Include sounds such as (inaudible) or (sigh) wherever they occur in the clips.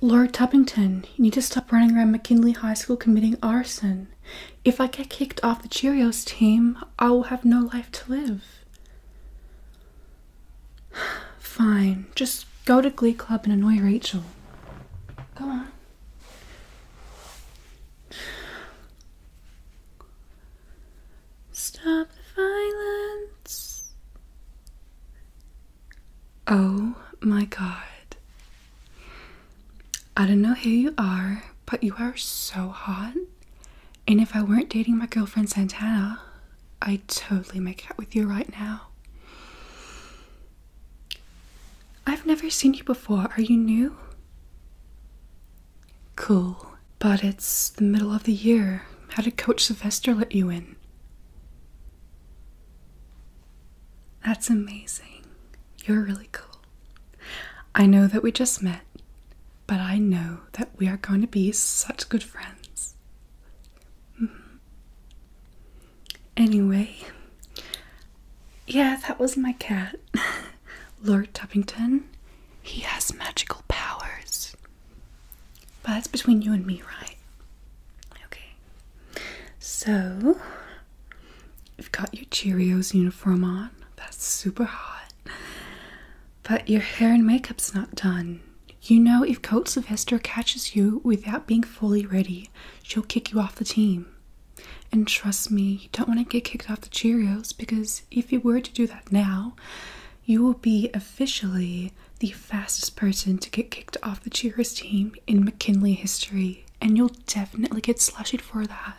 Lord Tuppington, you need to stop running around McKinley High School committing arson. If I get kicked off the Cheerios team, I will have no life to live. (sighs) Fine, just go to Glee Club and annoy Rachel. Go on. Stop the violence. Oh my god. I don't know who you are, but you are so hot. And if I weren't dating my girlfriend Santana, I'd totally make out with you right now. I've never seen you before. Are you new? Cool. But it's the middle of the year. How did Coach Sylvester let you in? That's amazing. You're really cool. I know that we just met, but I know that we are going to be such good friends. -hmm. Anyway, yeah, that was my cat. (laughs) Lord Tuppington, he has magical powers. But that's between you and me, right? Okay. So, you've got your Cheerios uniform on. That's super hot. But your hair and makeup's not done. You know, if Coach Sylvester catches you without being fully ready, she'll kick you off the team. And trust me, you don't want to get kicked off the Cheerios because if you were to do that now, you will be officially the fastest person to get kicked off the Cheers team in McKinley history, and you'll definitely get slushied for that.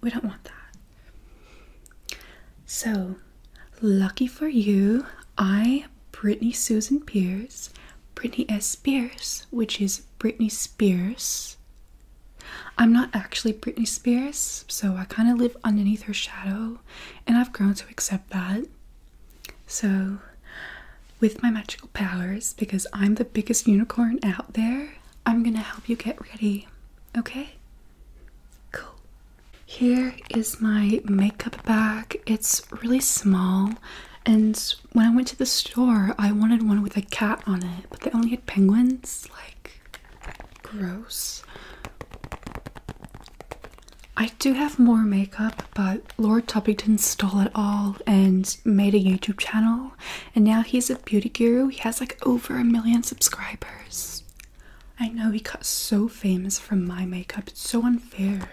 We don't want that. So, lucky for you, I, Brittany Susan Pierce, Brittany S. Pierce, which is Britney Spears I'm not actually Britney Spears, so I kind of live underneath her shadow, and I've grown to accept that. So, with my magical powers, because I'm the biggest unicorn out there, I'm gonna help you get ready, okay? Cool. Here is my makeup bag. It's really small, and when I went to the store, I wanted one with a cat on it, but they only had penguins. Like, gross. I do have more makeup, but Lord Toppington stole it all and made a YouTube channel, and now he's a beauty guru. He has like over a million subscribers. I know he got so famous from my makeup, it's so unfair.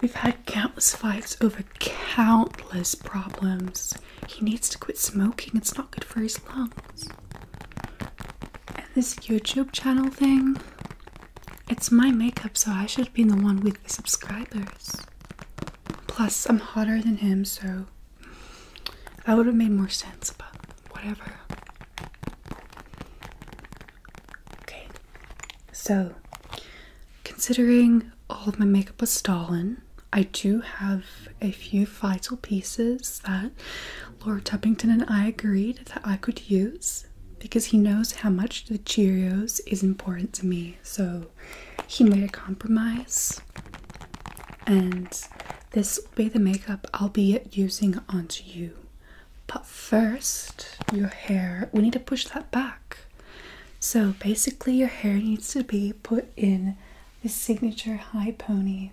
We've had countless fights over countless problems. He needs to quit smoking, it's not good for his lungs. And this YouTube channel thing, it's my makeup, so I should be the one with the subscribers. Plus, I'm hotter than him, so that would have made more sense, but whatever. Okay, so considering all of my makeup was stolen. I do have a few vital pieces that Laura Tuppington and I agreed that I could use because he knows how much the Cheerios is important to me. So he made a compromise, and this will be the makeup I'll be using onto you. But first, your hair, we need to push that back. So basically, your hair needs to be put in the signature high pony.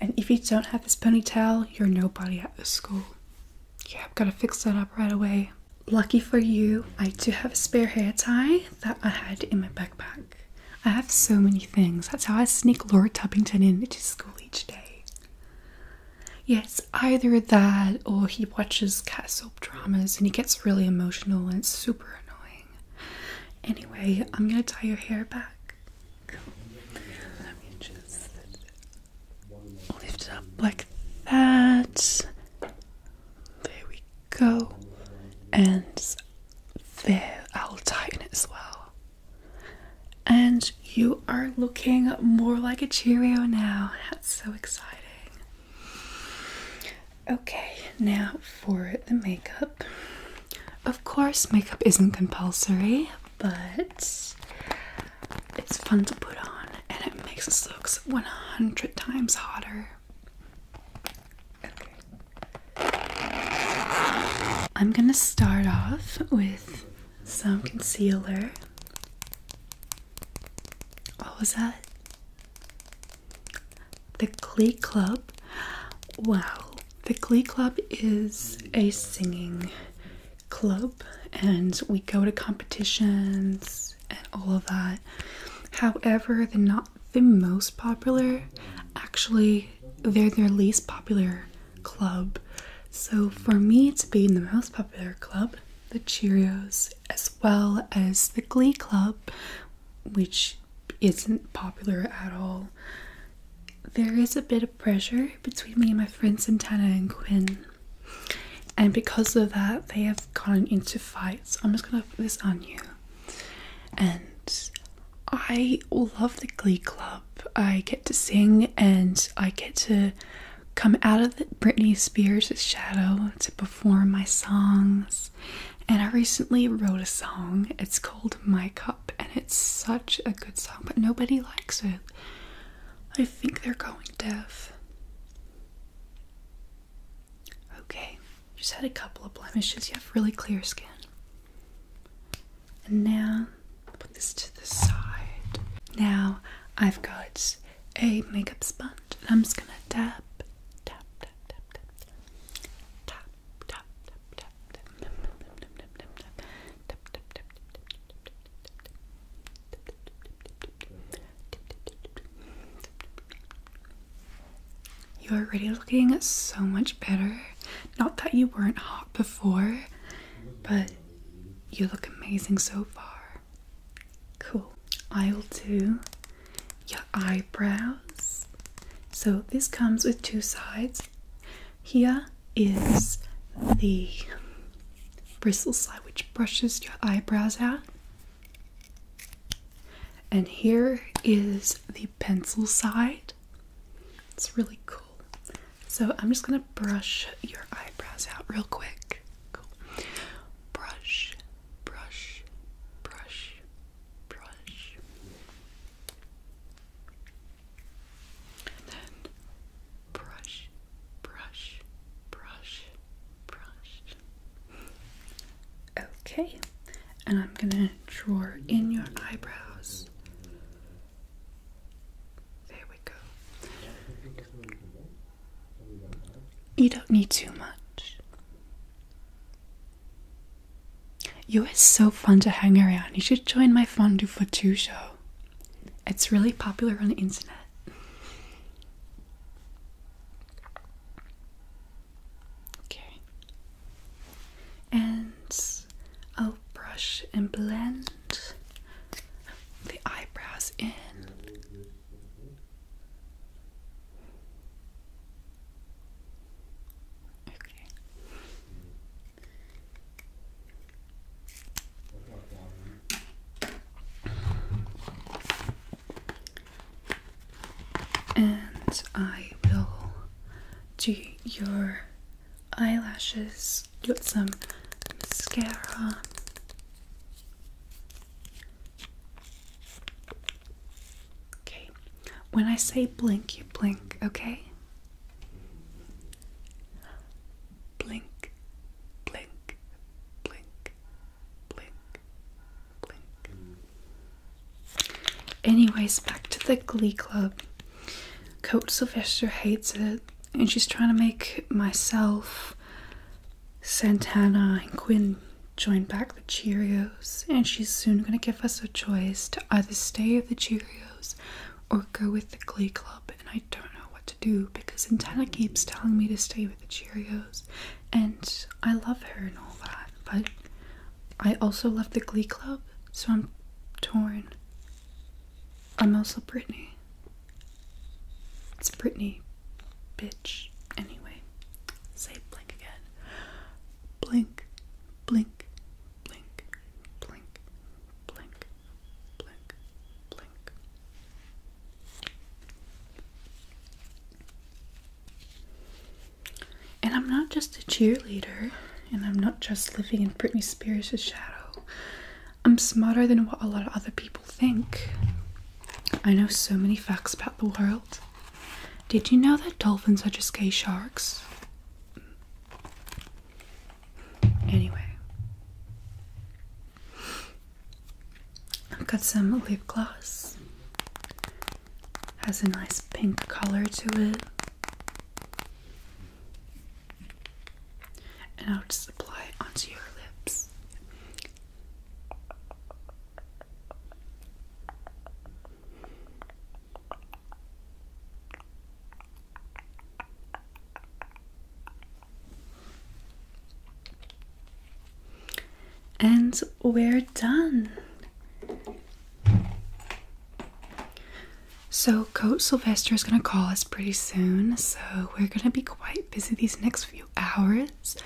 And if you don't have this ponytail, you're nobody at the school. Yeah, I've got to fix that up right away. Lucky for you, I do have a spare hair tie that I had in my backpack. I have so many things. That's how I sneak Laura Tubbington to school each day. Yes, either that or he watches Castle dramas and he gets really emotional and it's super annoying. Anyway, I'm gonna tie your hair back. just lift it up like that. There we go. And there, I'll tighten it as well. And you are looking more like a Cheerio now. That's so exciting. Okay, now for the makeup. Of course, makeup isn't compulsory, but it's fun to put on and it makes us look 100 times hotter. I'm gonna start off with some concealer. What was that? The Glee Club. Well, the Glee Club is a singing club, and we go to competitions and all of that. However, they're not the most popular. Actually, they're their least popular club. So, for me to be in the most popular club, the Cheerios, as well as the Glee Club, which isn't popular at all. There is a bit of pressure between me and my friends Santana and Quinn, and because of that, they have gotten into fights. I'm just gonna put this on you. And I love the Glee Club. I get to sing and I get to come out of Britney Spears' shadow to perform my songs. And I recently wrote a song. It's called My Cup, and it's such a good song, but nobody likes it. I think they're going deaf. Okay, just had a couple of blemishes. You have really clear skin. And now, put this to the side. Now, I've got a makeup sponge and I'm just gonna tap, tap, tap, tap, tap, tap, tap, tap, tap, tap, tap, tap, tap, you are already looking so much better. Not that you weren't hot before, but you look amazing so far. Cool. I'll do your eyebrows. So this comes with two sides. Here is the bristle side which brushes your eyebrows out. And here is the pencil side. It's really cool. So I'm just going to brush your eyebrows out real quick. Cool. Brush, brush, brush, brush. And then brush, brush, brush, brush. Okay, and I'm gonna draw in your eyebrows. There we go. You don't need too much. You are so fun to hang around. You should join my Fondue for Two show. It's really popular on the internet. Okay. And a brush and blend the eyebrows in. And I will do your eyelashes Got some mascara. Okay, when I say blink, you blink, okay? Blink, blink, blink, blink, blink. Anyways, back to the Glee Club. Coach Sylvester hates it, and she's trying to make myself, Santana, and Quinn join back the Cheerios, and she's soon going to give us a choice to either stay with the Cheerios or go with the Glee Club. And I don't know what to do because Santana keeps telling me to stay with the Cheerios, and I love her and all that, but I also love the Glee Club, so I'm torn. I'm also Britney. It's Britney, bitch. Anyway, say blink again. Blink, blink, blink, blink, blink, blink, blink. And I'm not just a cheerleader and I'm not just living in Britney Spears' shadow. I'm smarter than what a lot of other people think. I know so many facts about the world. Did you know that dolphins are just gay sharks? Anyway, I've got some lip gloss. Has a nice pink color to it. And I'll just apply it onto your lips. And we're done. So, Coach Sylvester is going to call us pretty soon, so we're going to be quite busy these next few hours.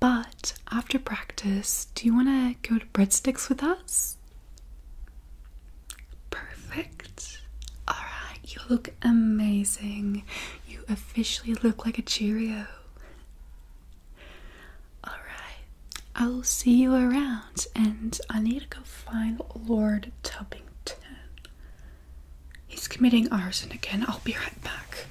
But after practice, do you want to go to breadsticks with us? Perfect. Alright, you look amazing. You officially look like a Cheerio. Alright, I will see you around, and I need to go find Lord Tubbington. He's committing arson again. I'll be right back.